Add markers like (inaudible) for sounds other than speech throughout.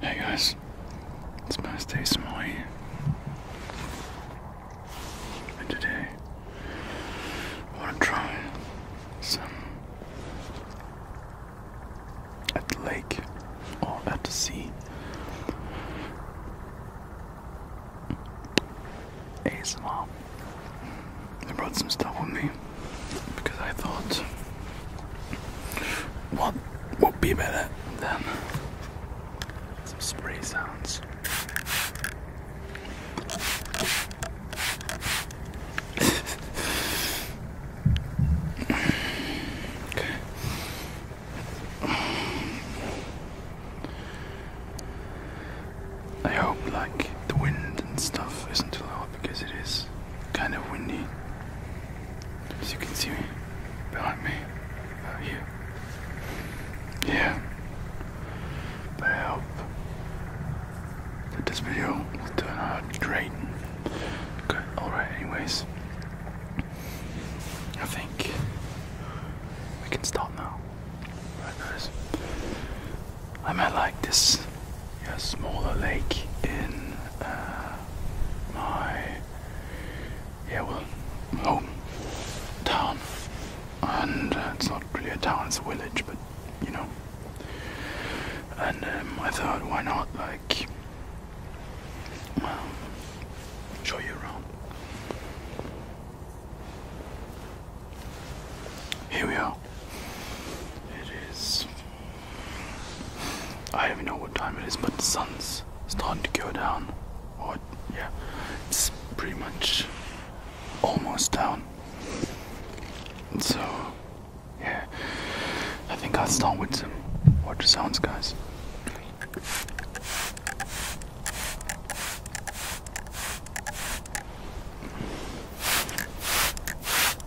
Hey guys, it's Master Samoy here. And today I want to try some at the lake or at the sea ASMR. I brought some stuff with me because I thought what would be better than some spray sounds? okay. I hope like the wind and stuff isn't too loud because it is kind of windy. As you can see behind me, out uh, here. Yeah. But I this video will out great. Good. Alright, anyways. I think we can start now. Right, guys. I might like this smaller lake in. Uh, my yeah well home town, and uh, it's not really a town, it's a village, but you know. And um, I thought, why not like um, show you around. Here we are. It is I don't know what time it is, but the sun's starting to go down. Or, yeah, it's pretty much almost down. So, yeah, I think I'll start with some water sounds, guys.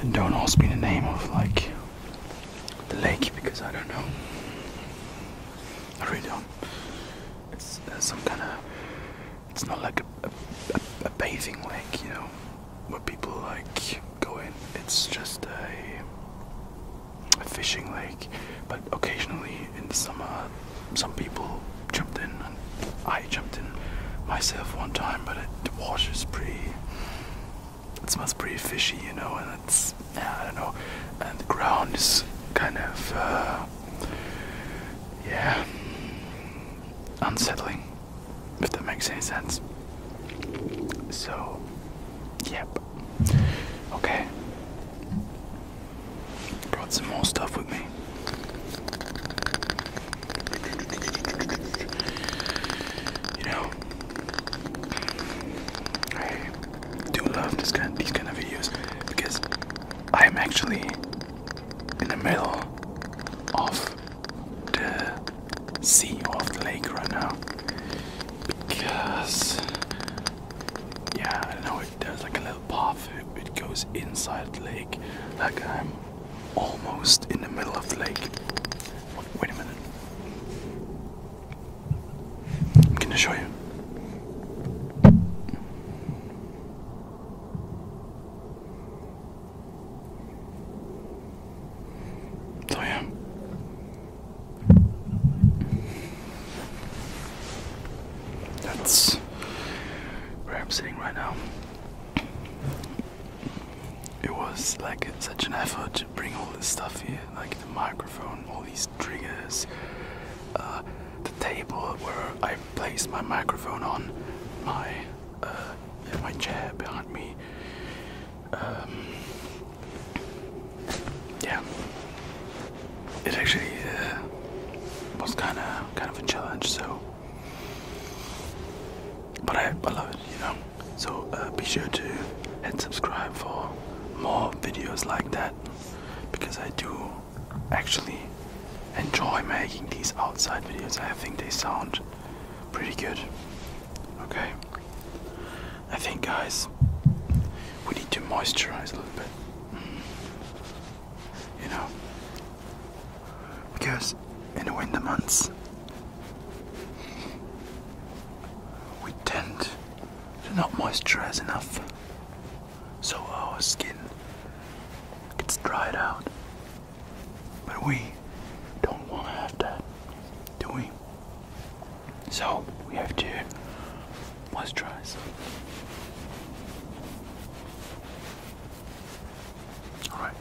And don't ask me the name of like the lake because I don't know. I really don't. It's uh, some kind of. It's not like a, a, a, bathing lake, you know, where people like go in. It's just a, a fishing lake but occasionally in the summer, some people jumped in, and I jumped in myself one time. But it, the water is pretty. It smells pretty fishy, you know, and it's I don't know, and the ground is kind of uh, yeah unsettling, if that makes any sense. So, yep. Okay. Brought some more stuff with me. You know, I do love these kind of videos because I'm actually in the middle of the sea of the lake right now. Because yeah, I know there's like a little path. It, goes inside the lake. Like I'm almost in the middle of the lake. Wait, a minute. I'm gonna show you. So yeah. That's where I'm sitting right now. It was like such an effort to bring all this stuff here, like the microphone, all these triggers, uh, the table where I placed my microphone on, my uh, my chair behind me. Um, yeah, it actually uh, was kind of kind of a challenge. So, but I, I love it, you know. So uh, be sure to hit subscribe for more videos like that because I do actually enjoy making these outside videos. I think they sound pretty good. Okay. I think guys we need to moisturize a little bit you know, because in the winter months we tend to not moisturize enough, so our skin gets dried out. But we don't want to have that, do we? So we have to moisturize. Alright.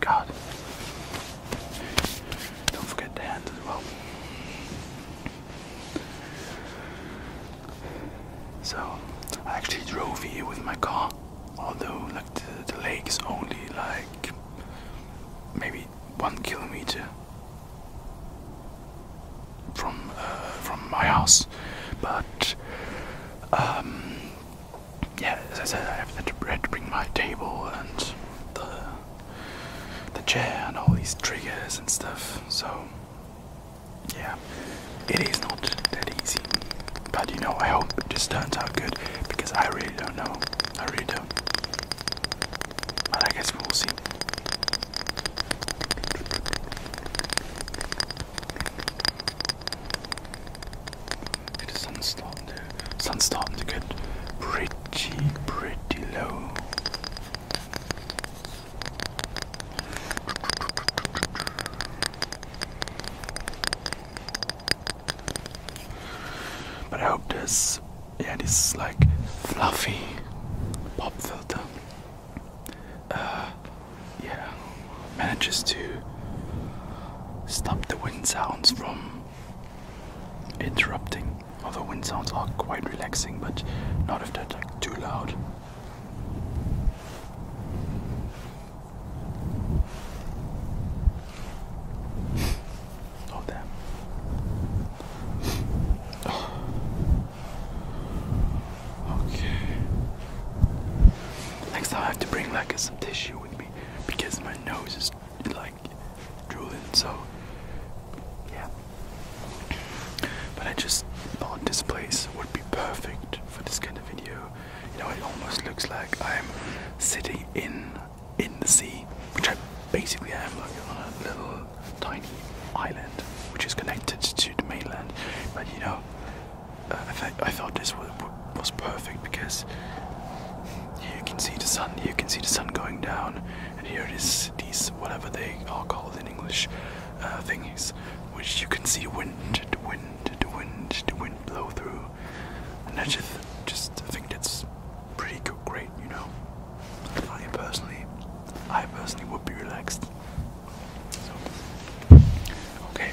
God. Don't forget the hand as well. So, I actually drove here with my car, although like the lake is only like maybe one kilometer from uh, from my house, but um, yeah, as I said, I had to, had to bring my table and the the chair and all these triggers and stuff. So yeah, it is not that easy, but you know, I hope it just turns out good because I really don't know. I really don't. But I guess we will see. The sun's starting to, starting to get pretty, pretty low. But I hope this yeah, this is like fluffy pop filter. Uh, yeah, manages to stop the wind sounds from interrupting. Although wind sounds are quite relaxing, but not if they're too loud. Oh damn. okay. Next time I have to bring like some tissue with me because my nose is like drooling. So yeah. But I just thought this place would be perfect for this kind of video. You know, it almost looks like I'm sitting in in the sea, which I basically am like on a little tiny island which is connected to the mainland. But you know, uh, I, thought this was, perfect because you can see the sun, you can see the sun going down, and here it is these whatever they are called in English uh, thingies, which you can see wind, the wind, the wind, the wind blow through, and I just just think that's pretty good, great, you know. I personally, I personally would be relaxed. So, okay.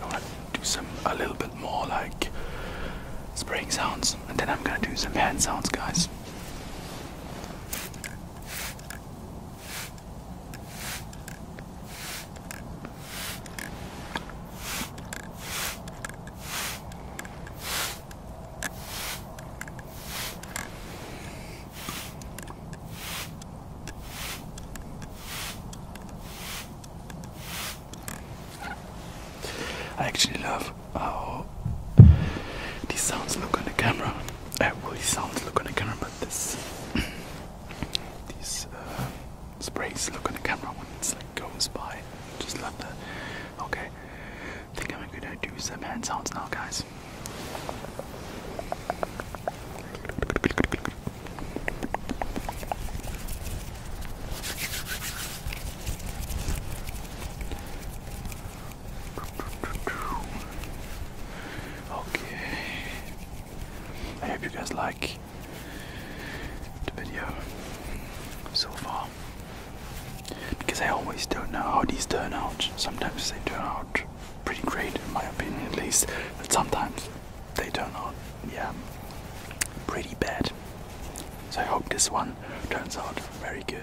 I want to do some a little bit more like spraying sounds, and then I'm gonna do some hand sounds, guys. I actually love how these sounds look on the camera. Uh, well, these sounds look on the camera, but this, these (clears throat) Sprays look on the camera when it's like goes by. Just love that. Okay. I think I'm gonna do some hand sounds now guys. Okay. I hope you guys like the video so far. Because I always don't know how these turn out. Sometimes they turn out pretty great, in my opinion at least, but sometimes they turn out, yeah, pretty bad. So I hope this one turns out very good.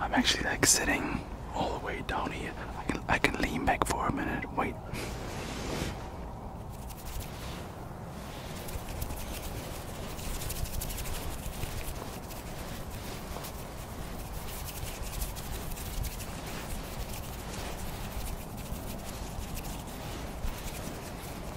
I'm actually like sitting all the way down here. I can I can lean back for a minute. Wait.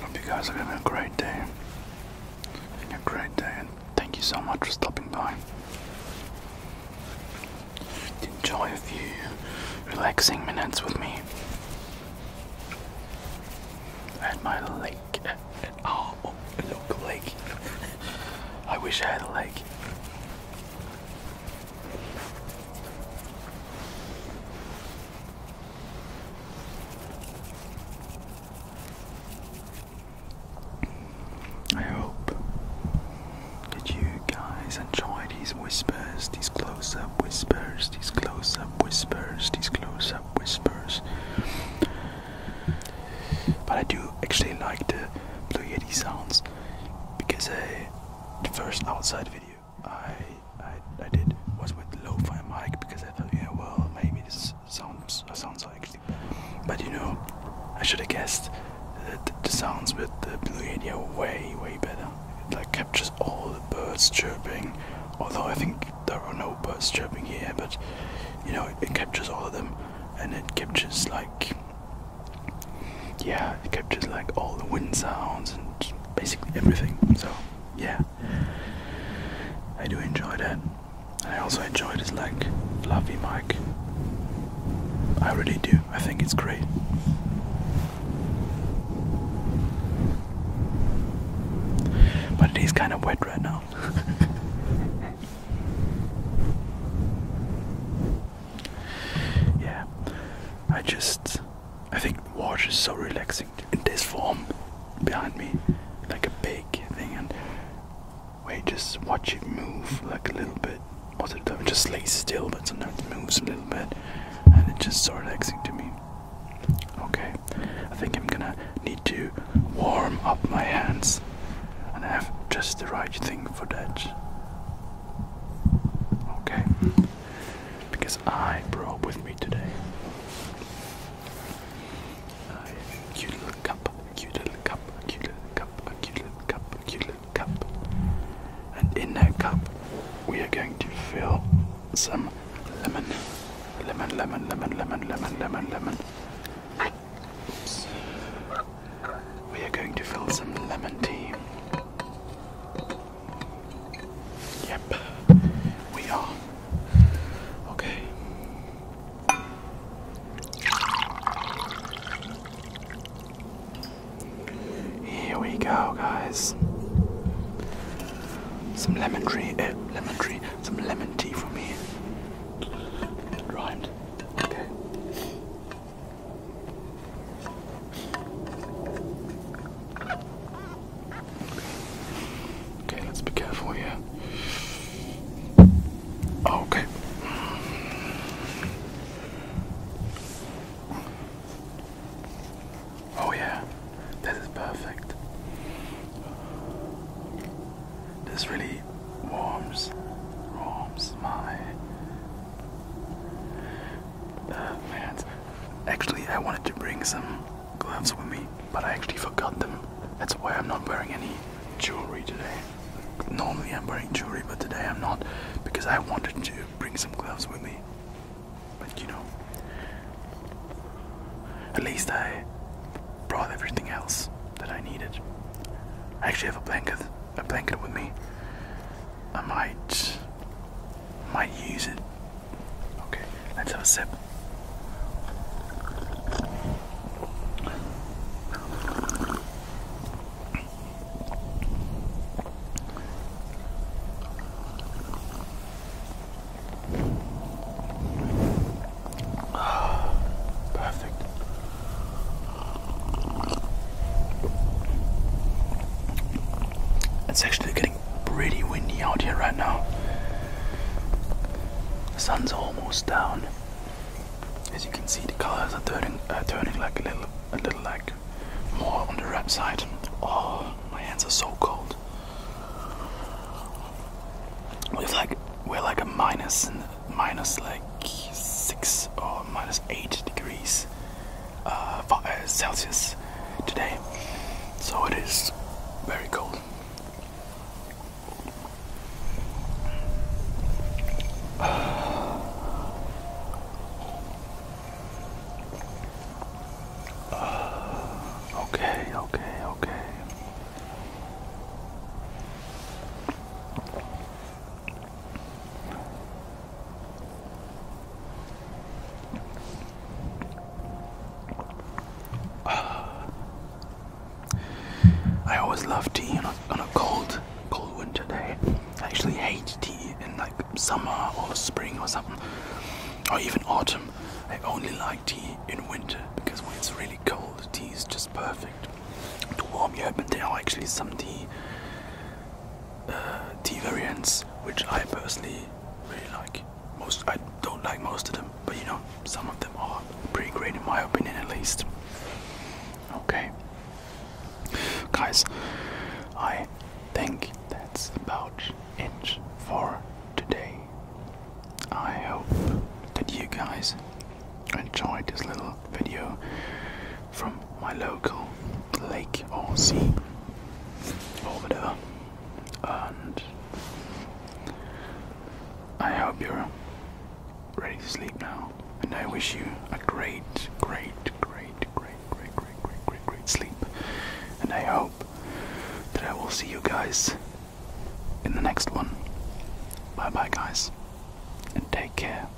Hope you guys are having a great day. A great day, and thank you so much for stopping by. Enjoy a few relaxing minutes with me at my lake. Oh, oh look, lake. (laughs) I wish I had a lake. I hope that you guys enjoy these whispers, these close up whispers, these close up whispers, these close up whispers. But I do actually like the Blue Yeti sounds because I, uh, the first outside video I, I did was with lo-fi mic because I thought, yeah, well, maybe this sounds uh, sounds actually, but you know, I should have guessed that the sounds with the blue Yeti are way way better. It like captures all the birds chirping, although I think there are no birds chirping here, but you know, it, it captures all of them, and it captures like. Yeah, it captures like all the wind sounds and basically everything. So yeah, I do enjoy that. I also enjoy this like fluffy mic. I really do. I think it's great. But it is kind of wet right now. (laughs) yeah, I just I think water is so relaxing in this form behind me, like a big thing. And wait, just watch it move like a little bit. Most of it just lays still, but sometimes it moves a little bit, and it's just so relaxing to me. Okay, I think I'm gonna need to warm up my hands, and I have just the right thing for that. Okay because I brought with me today a cute little cup, a cute little cup, a cute little cup, a cute little cup, a cute little cup. And in that cup, we are going to fill some lemon, lemon, lemon, lemon, lemon, lemon, lemon, Oops. We are going to fill some lemon tea. Yep, we are. Okay. Here we go, guys. Some lemon tree, eh, lemon tree, some lemon tea for me. rhymed. Okay. Okay, let's be careful here. Okay. Oh, yeah, this is perfect. This really warms, warms my uh, Actually, I wanted to bring some gloves with me, but I actually forgot them. That's why I'm not wearing any jewelry today. Normally I'm wearing jewelry, but today I'm not because I wanted to bring some gloves with me. But you know, at least I brought everything else that I needed. I actually have a blanket, a blanket with me. I might might use it. Okay, let's have a sip. Ah, perfect. It's actually getting pretty windy out here right now. The sun's almost down. As you can see, the colors are turning, uh, turning like a little, a little like more on the red side. Oh, my hands are so cold. We've like we're like a minus minus like six or minus eight degrees uh, uh, Celsius today, so it is very cold. (sighs) Okay, okay, okay. (sighs) I always love tea on a, on a cold, cold winter day. I actually hate tea in like summer or spring or something, or even autumn. I only like tea in winter because when it's really cold, tea is just perfect to warm you up. And there actually some tea uh, tea variants, which I personally really like. Most I don't like most of them, but you know, some of them are pretty great in my opinion, at least. Okay, guys, I think that's about it for today. I hope that you guys enjoyed this little video from my local lake or sea over there, And I hope you're ready to sleep now. And I wish you a great, great, great, great, great, great, great, great, great sleep. And I hope that I will see you guys in the next one. Bye bye, guys, and take care.